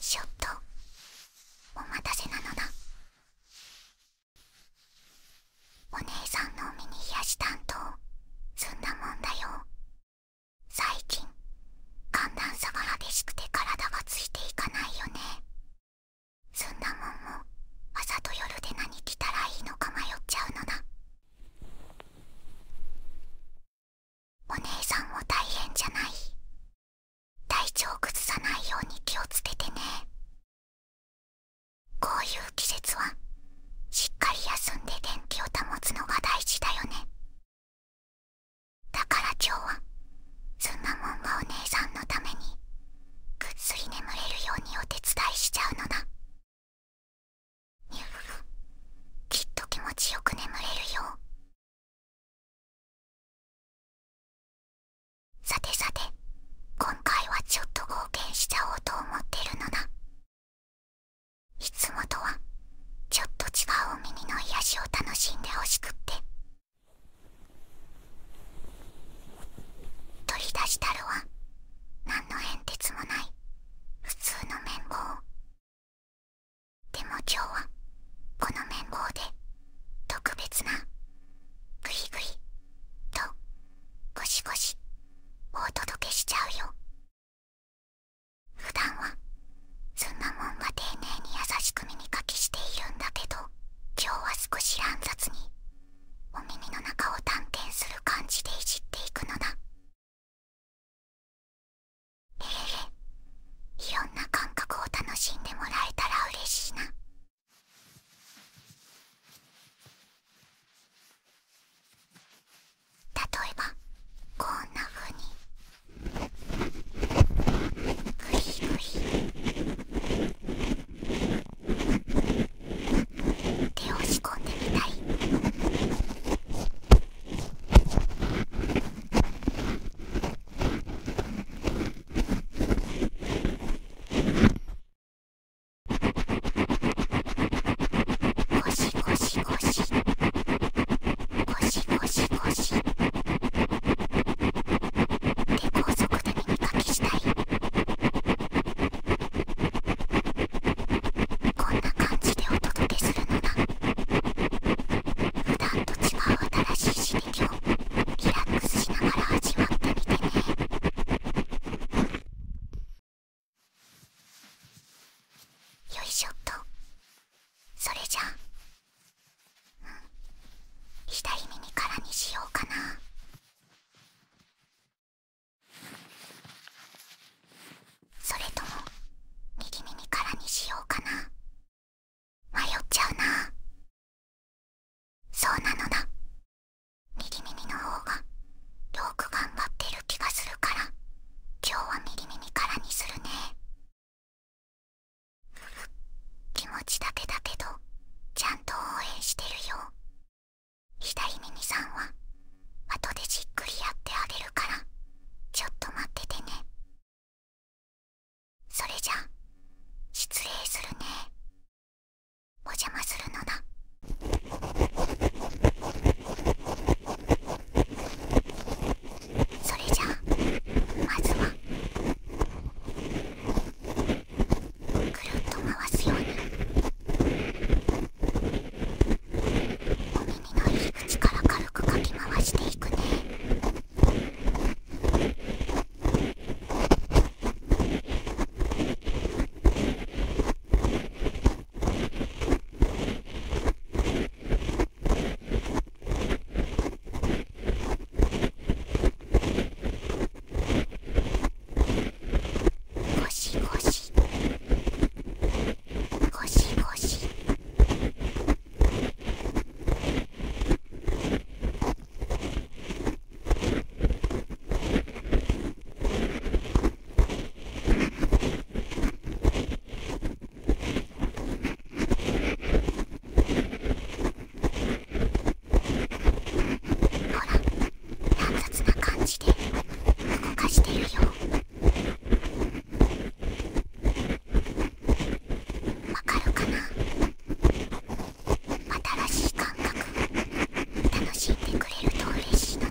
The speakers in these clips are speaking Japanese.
ちょっとお待たせなのだお姉さんのミニ冷し担当済んだもんだよ最近寒暖差が激しくて体がついていかないよね済んだもんも朝と夜で何着たらいいのか迷っちゃうのだお姉さんも大変じゃない体調を崩さないように気をつけてねこういう季節はしっかり休んで元気を保つのが大事だよねだから今日はそんなもんがお姉さんのためにぐっすり眠れるようにお手伝いしちゃうのだきっと気持ちよく眠れるよう。さてさて今回はちょっと冒険しちゃおうと思ってるのだいつもとはちょっと違うお耳の癒しを楽しんでほしくって取り出したるは何の変哲もない普通の綿棒でも今日はこの綿棒で特別なグイグイとゴシゴシお届けしちゃうよ普段はそんなもんが丁寧に優しく耳かきしているんだけど今日は少し乱雑にお耳の中を探検する感じでいじっていくのだええいろんな感覚を楽しんでもらえたら嬉しいな例えばこんなふうにグリグリリ手を仕込んでみたいゴシゴシゴシゴシゴシゴシ手高速で耳かきしたい。こんな感じでお届けするのだ普段と違う新しい刺激をリラックスしながら味わってみてねよいしょっとそれじゃあ、左耳からにしようかなそれとも右耳からにしようかな迷っちゃうなそうなのだ右耳の方がよく頑張ってる気がするから今日は右耳からにするね気持ちだけだけどちゃんと応援してるよ左耳さんは後でじっくりやってあげるからちょっと待っててねそれじゃ失礼するねお邪魔するのだそれじゃまずはぐるっと回すように。耳の入り口から軽くかき回していくね耳ゴしゴし…ゴしゴシほら乱雑な感じで動かしてるよわかるかな新しい感覚楽しんでくれると嬉しいのだ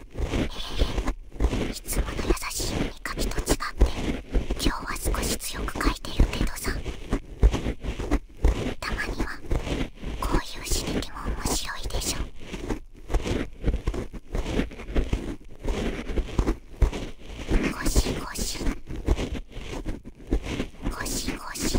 えいつもの優しい耳かきと違って今日は少し強く書いてるけどさたまにはこういう刺激も面白いでしょゴシゴシゴシゴシ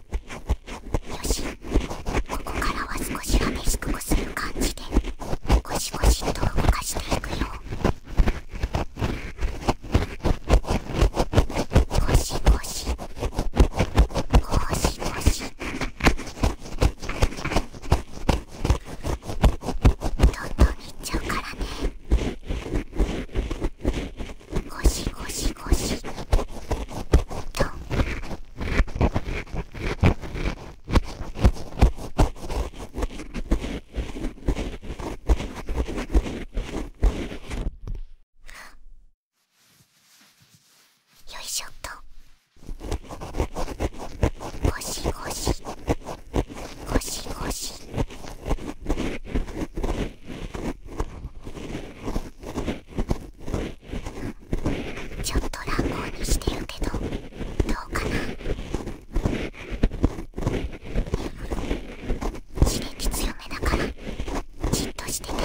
よしここからは少しは激しくこする感じでゴシゴシと動かしていくよゴシゴシゴシゴシどんどんいっちゃうからねゴシゴシゴシとよいしょっとゴシゴシゴシゴシ。ちょっと乱暴にしてるけどどうかな刺激強めだからじっとしててね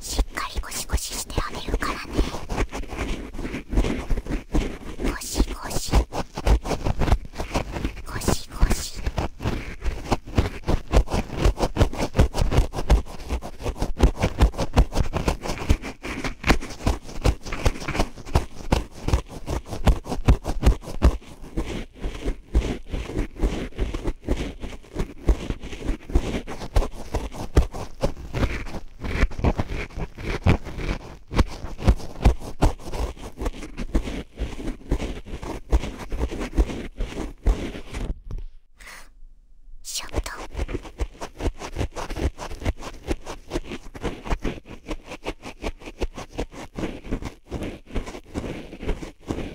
しっかりゴシゴシしてあげるからねゴシゴシゴシゴシショット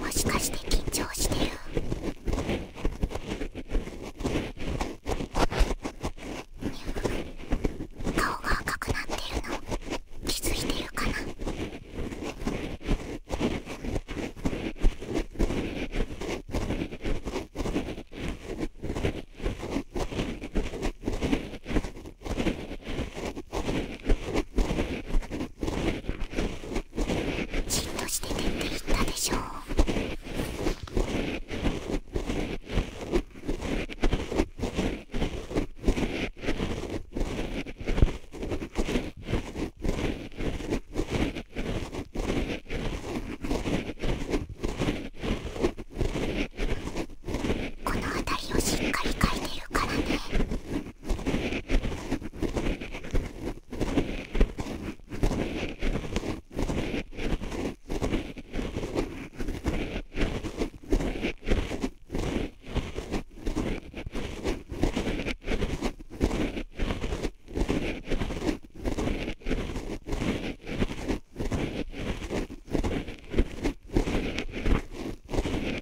もしかして緊張してる顔が赤くなってるの気づいてるかなじっとして寝て行ったでしょうこの辺りをしっかり描いてるからねこ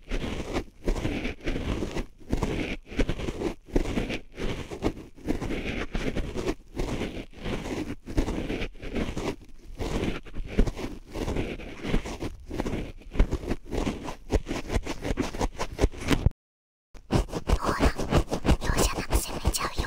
ほら容赦なく攻めちゃうよ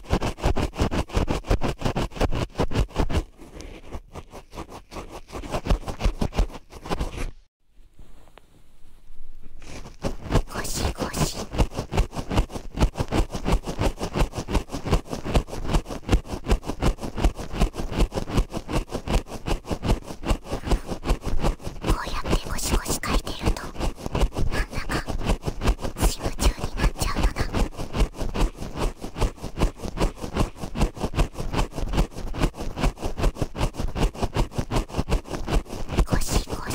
こうやってゴシゴシ書いてるとなんだかスリム中になっちゃうのだゴシゴシ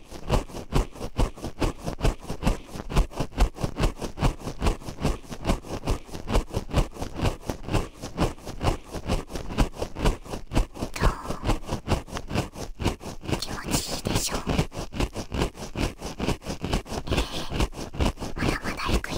どう？気持ちいいでしょうまだまだ行くよ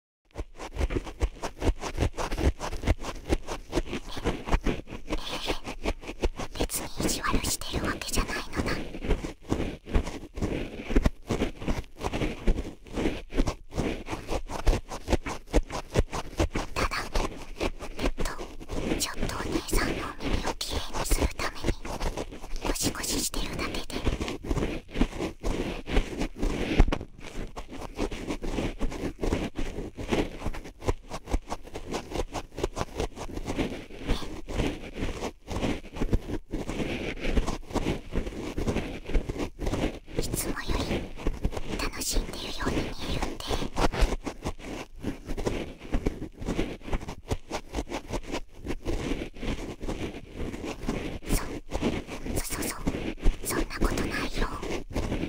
え、別に意地悪してるわけじゃないのだただえっとちょっとお姉さんのお耳をきれいにするためにゴシゴシしてるだけで。いつもより楽しんでいるように見えるんでそそそそそんなことないよ。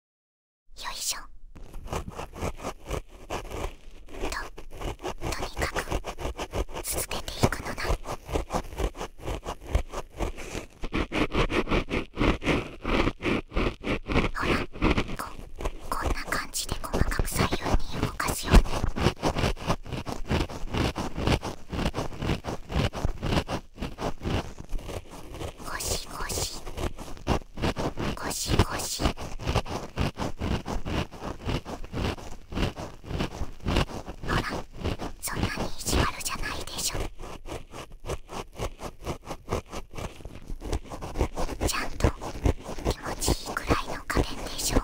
よいしょととにかく続けていくのだほらこんな感じで細かく左右に動かすように。ゴシゴシゴシゴシほらそんなに意地悪じゃないでしょちゃんと気持ちいいくらいの加減でしょう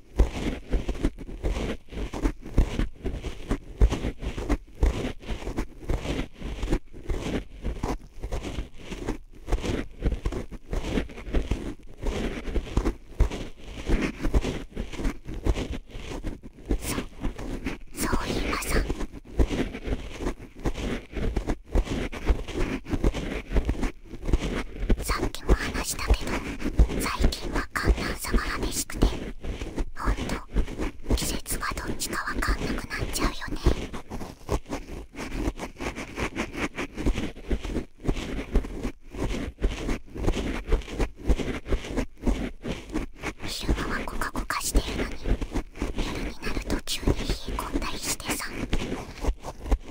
そそうい今ささっきも話したけど最近は寒暖差が激しくてほんと季節がどっちかわかんなくなっちゃうよね昼間はコカコカしてるのに夜になると急に冷え込んだりしてさ。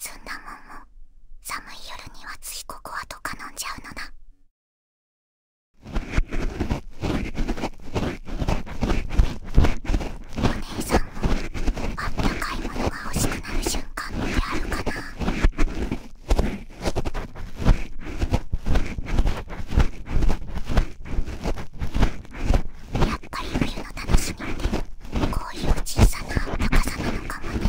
そんなもんも寒い夜にはついここはとか飲んじゃうのな。お姉さんもあったかいものが欲しくなる瞬間ってあるかなやっぱり冬の楽しみってこういう小さなあったかさなのかもね。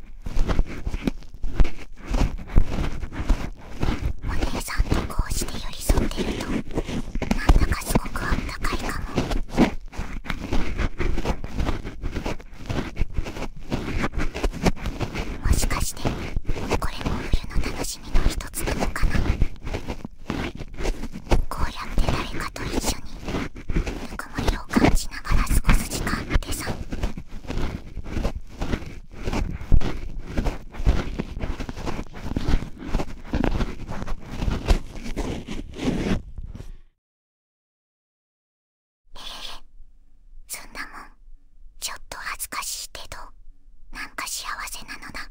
お姉さんとこうして寄り添ってるとなんだかすごくあったかいかももしかしてこれも冬の楽しみの一つなのかなこうやって誰かと一緒にぬくもりを感じながら過ごす時間ってさええ、そんなもんちょっと恥ずかしいけどなんか幸せなのだ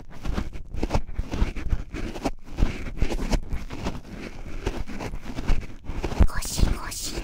ゴシゴシ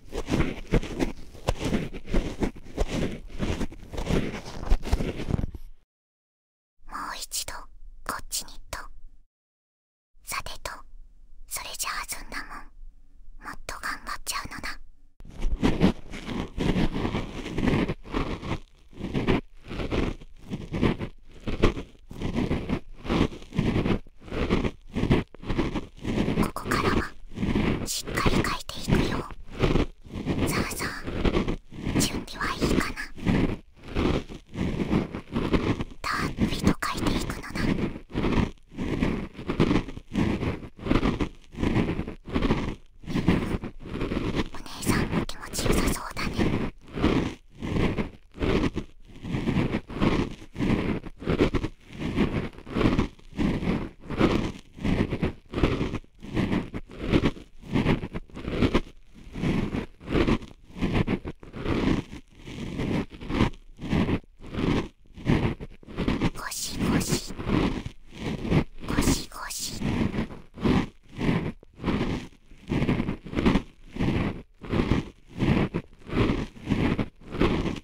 もう一度こっちにとさてとそれじゃあずんだもんもっと頑張っちゃうのだ。ここからはしっかり描いていくよさあさあ準備はいいかなたっぷりと描いていくのだお姉さんも気持ちよさそうだねゴシゴシゴシゴシゴ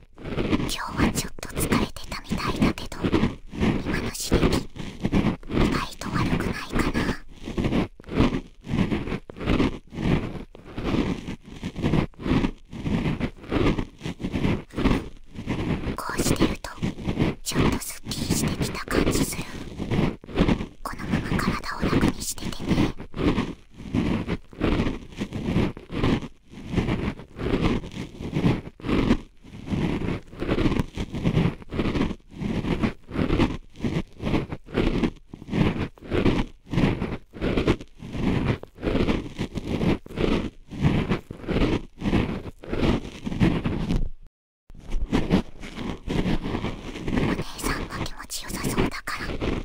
今日はちょっと疲れてたみたいだけど今の刺激意外と悪くないかなこうしてるとちょっとすっきりしてきた感じするこのまま体を楽にしててねお姉さんが気持ちよさそうだから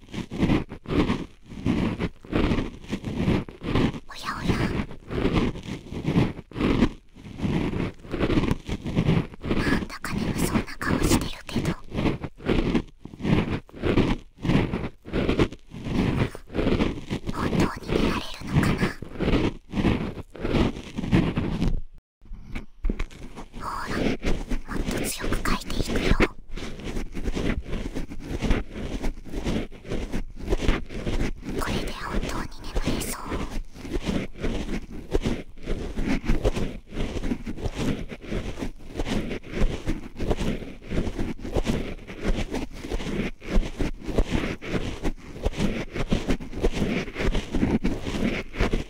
おやおやなんだか眠そうな顔してるけど本当に寝られるのかなほらもっと強く書いていくよこれで本当に眠れそう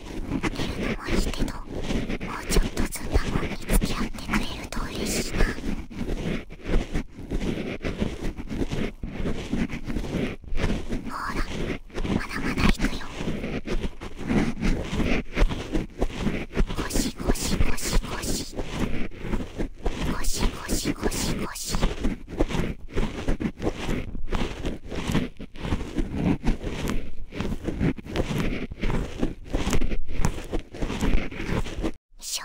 るのもいいけどもうちょっとずんなもんにつきあってくれると嬉しいほらまだまだいくよゴシゴシゴシゴシゴシゴシゴシゴシしょ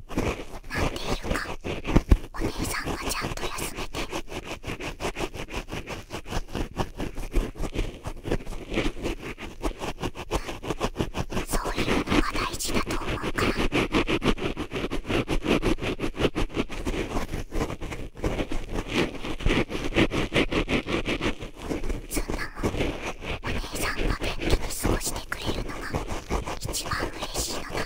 なんでいるかお姉さんがちゃんと休めてそういうのが大事だと思うから。そんなもんお姉さんが元気に過ごしてくれるのが一番嬉しいのがだか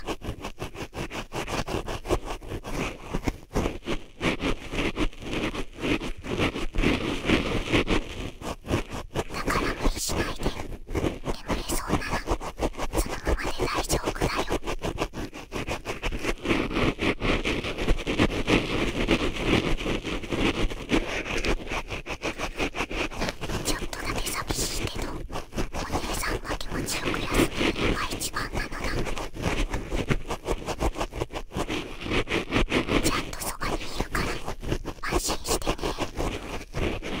ら無理しないで眠れそうならそのままで大丈夫だよちょっとだけ寂しいけどお姉さんは気持ちよく休めるのが一番なのだちゃんとそばにいるから安心してねっ、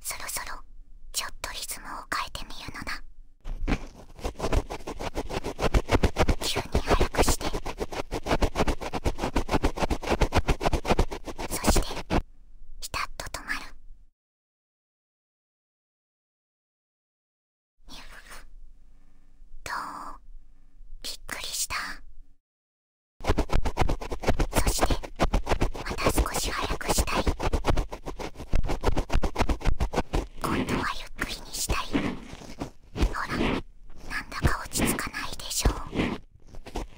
そろそろちょっとリズムを変えてみるのだ急に速くしてそしてピタッと止まるふどうびっくりしたそしてまた少し早くしたい今度はゆっくりにしたいほらなんだか落ち着かないでしょう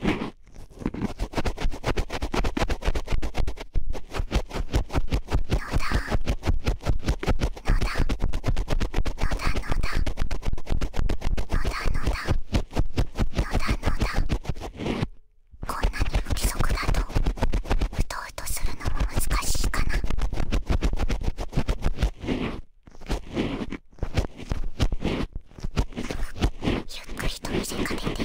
どうだこんなに不規則だとうとうとするのも難しいかな。ゆっくりと見せかけて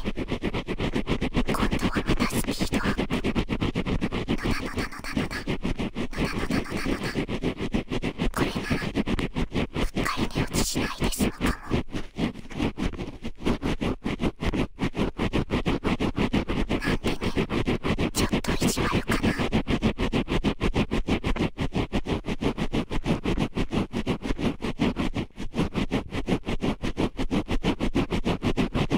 今度はまた好きーのだのだこれならうっかり寝落ちしないで済むかもなんでねちょっと意地悪かな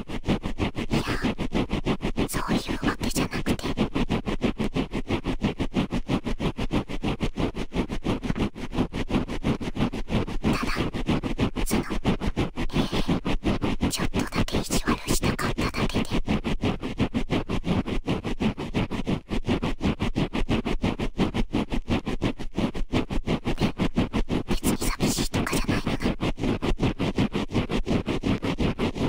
いやそういうわけじゃなくてただそのええ、ちょっとだけ意地悪したかっただけで。別に寂しいとかじゃないのな。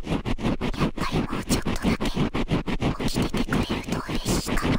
やっぱりもうちょっとだけ起きててくれると嬉しいかも。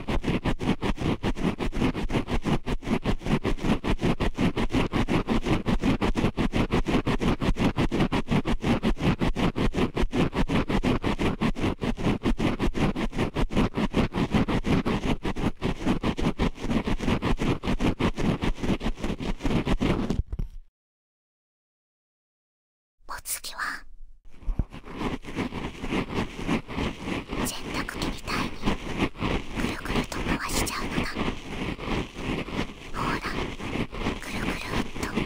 お次は洗濯機みたいにぐるぐると回しちゃうのだほらぐるぐるっとぐるぐるぐるぐる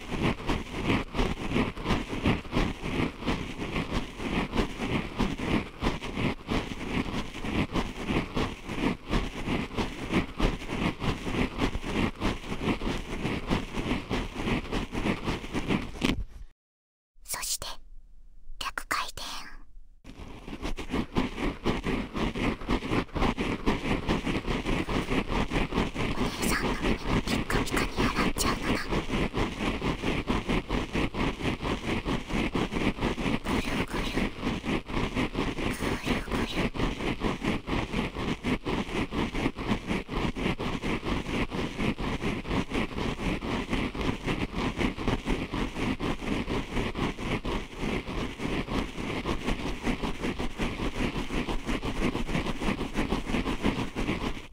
そして逆回転。兄さんがピッカピカに洗っちゃうのだぐるぐるぐるぐる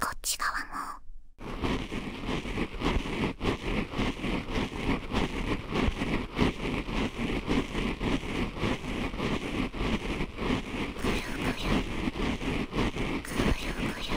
こっち側も。ぐるぐるぐるぐる。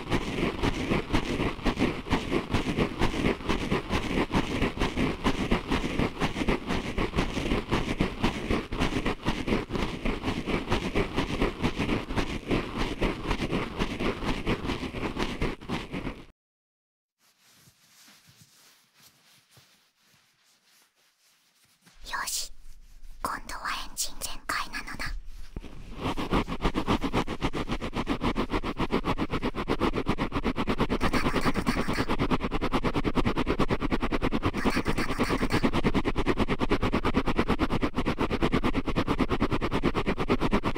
よし今度はエンジン全なのだ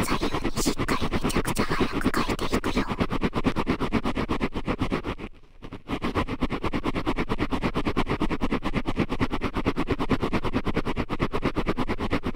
左右にしっかりめちゃくちゃ速く書いていくよ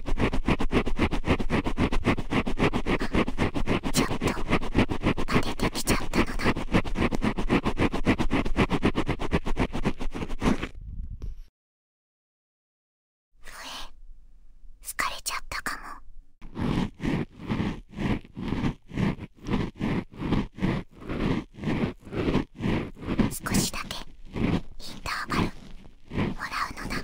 ちょっと枯れてきちゃったのだふ笛疲れちゃったかも。少しだけインターバルもらうのだ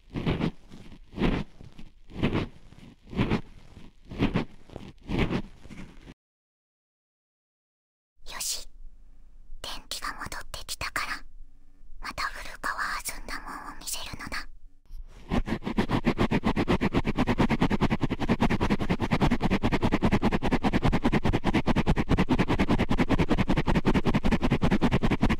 よし電気が戻ってきたからまた古川はずんだもんを見せるのだ。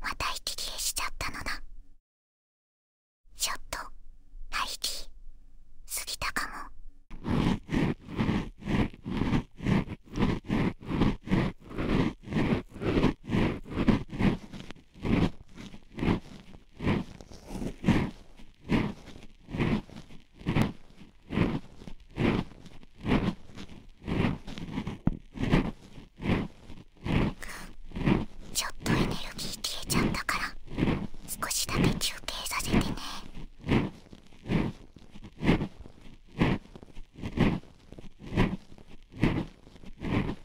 また息切れしちゃったのだちょっと排気過ぎたかも。ちょっとエネルギー消えちゃったから少しだけ休憩させてね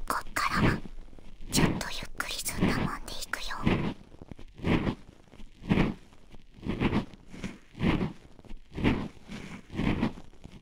こっからはちょっとゆっくりずんだもんでいくよ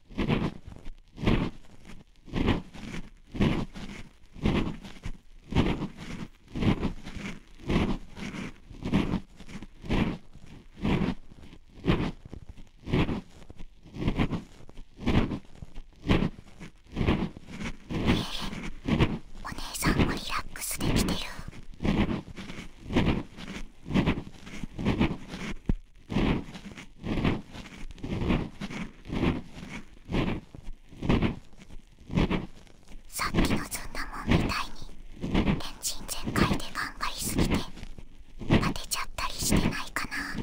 お姉さんもリラックスできてる。さっきのずんだもんみたいにエンジン全開で頑張りすぎて当てちゃったりしてないかな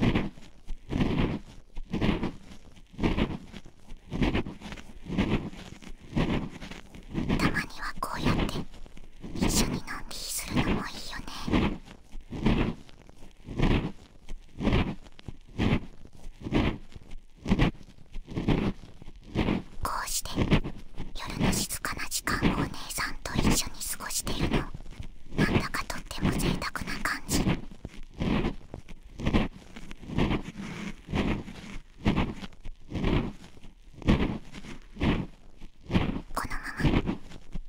たまにはこうやって一緒にのんびりするのもいいよね。こうして夜の静かな時間をお姉さんと一緒に過ごしているのなんだかとっても贅沢な感じこのまま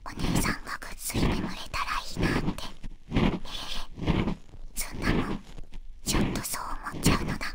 お姉さんがぐっすり眠れたらいいなってえへ、ー、そんなもんちょっとそう思っちゃうのだ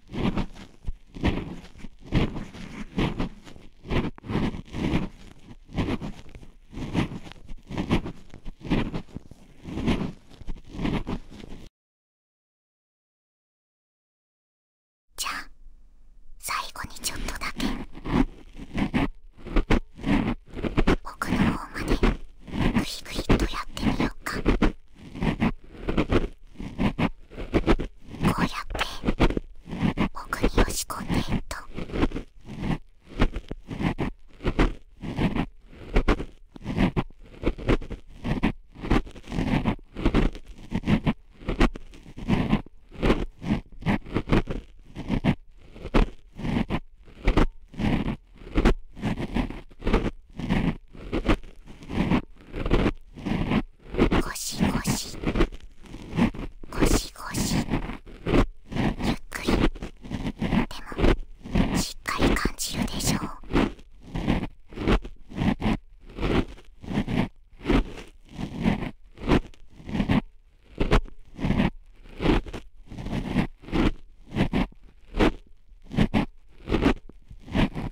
じゃあ最後にちょっとだけ奥の方までぐりぐりっとやってみようか。こうやって僕に押し込んでっとゴシゴシゴシゴシゆっくりでもしっかり感じるでしょう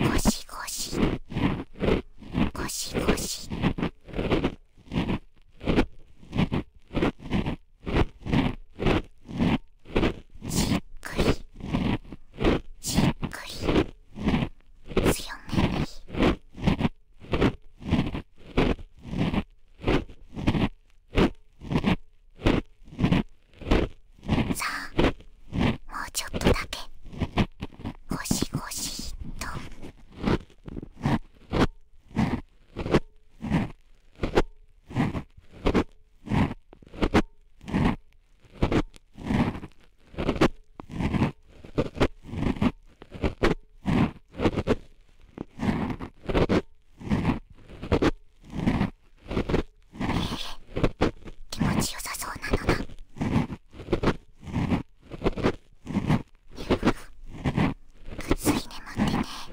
ゴしゴし、ゴしゴし…ゴシゴシじっくりじっくり強めにさあもうちょっとだけゴシゴシと。気持ちよさそうなのだ。ぐっすり眠ってね。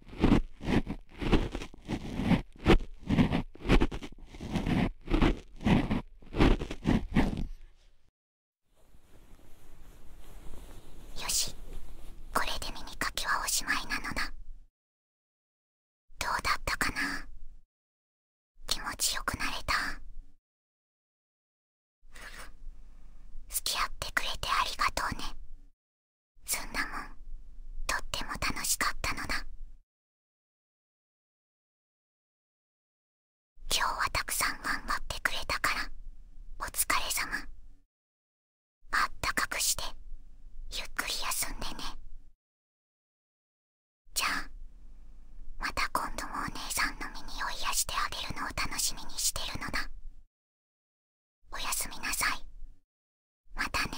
よしこれで耳かきはおしまいなのだどうだったかな気持ちよくなれた付き合ってくれてありがとうねそんなもんとっても楽しかったのだ今日はたくさん頑張ってくれたからお疲れ様あったかくしてゆっくり休んでねじゃあまた今度もお姉さんの身にを癒してあげるのを楽しみにしてるのだ。おやすみなさいまたね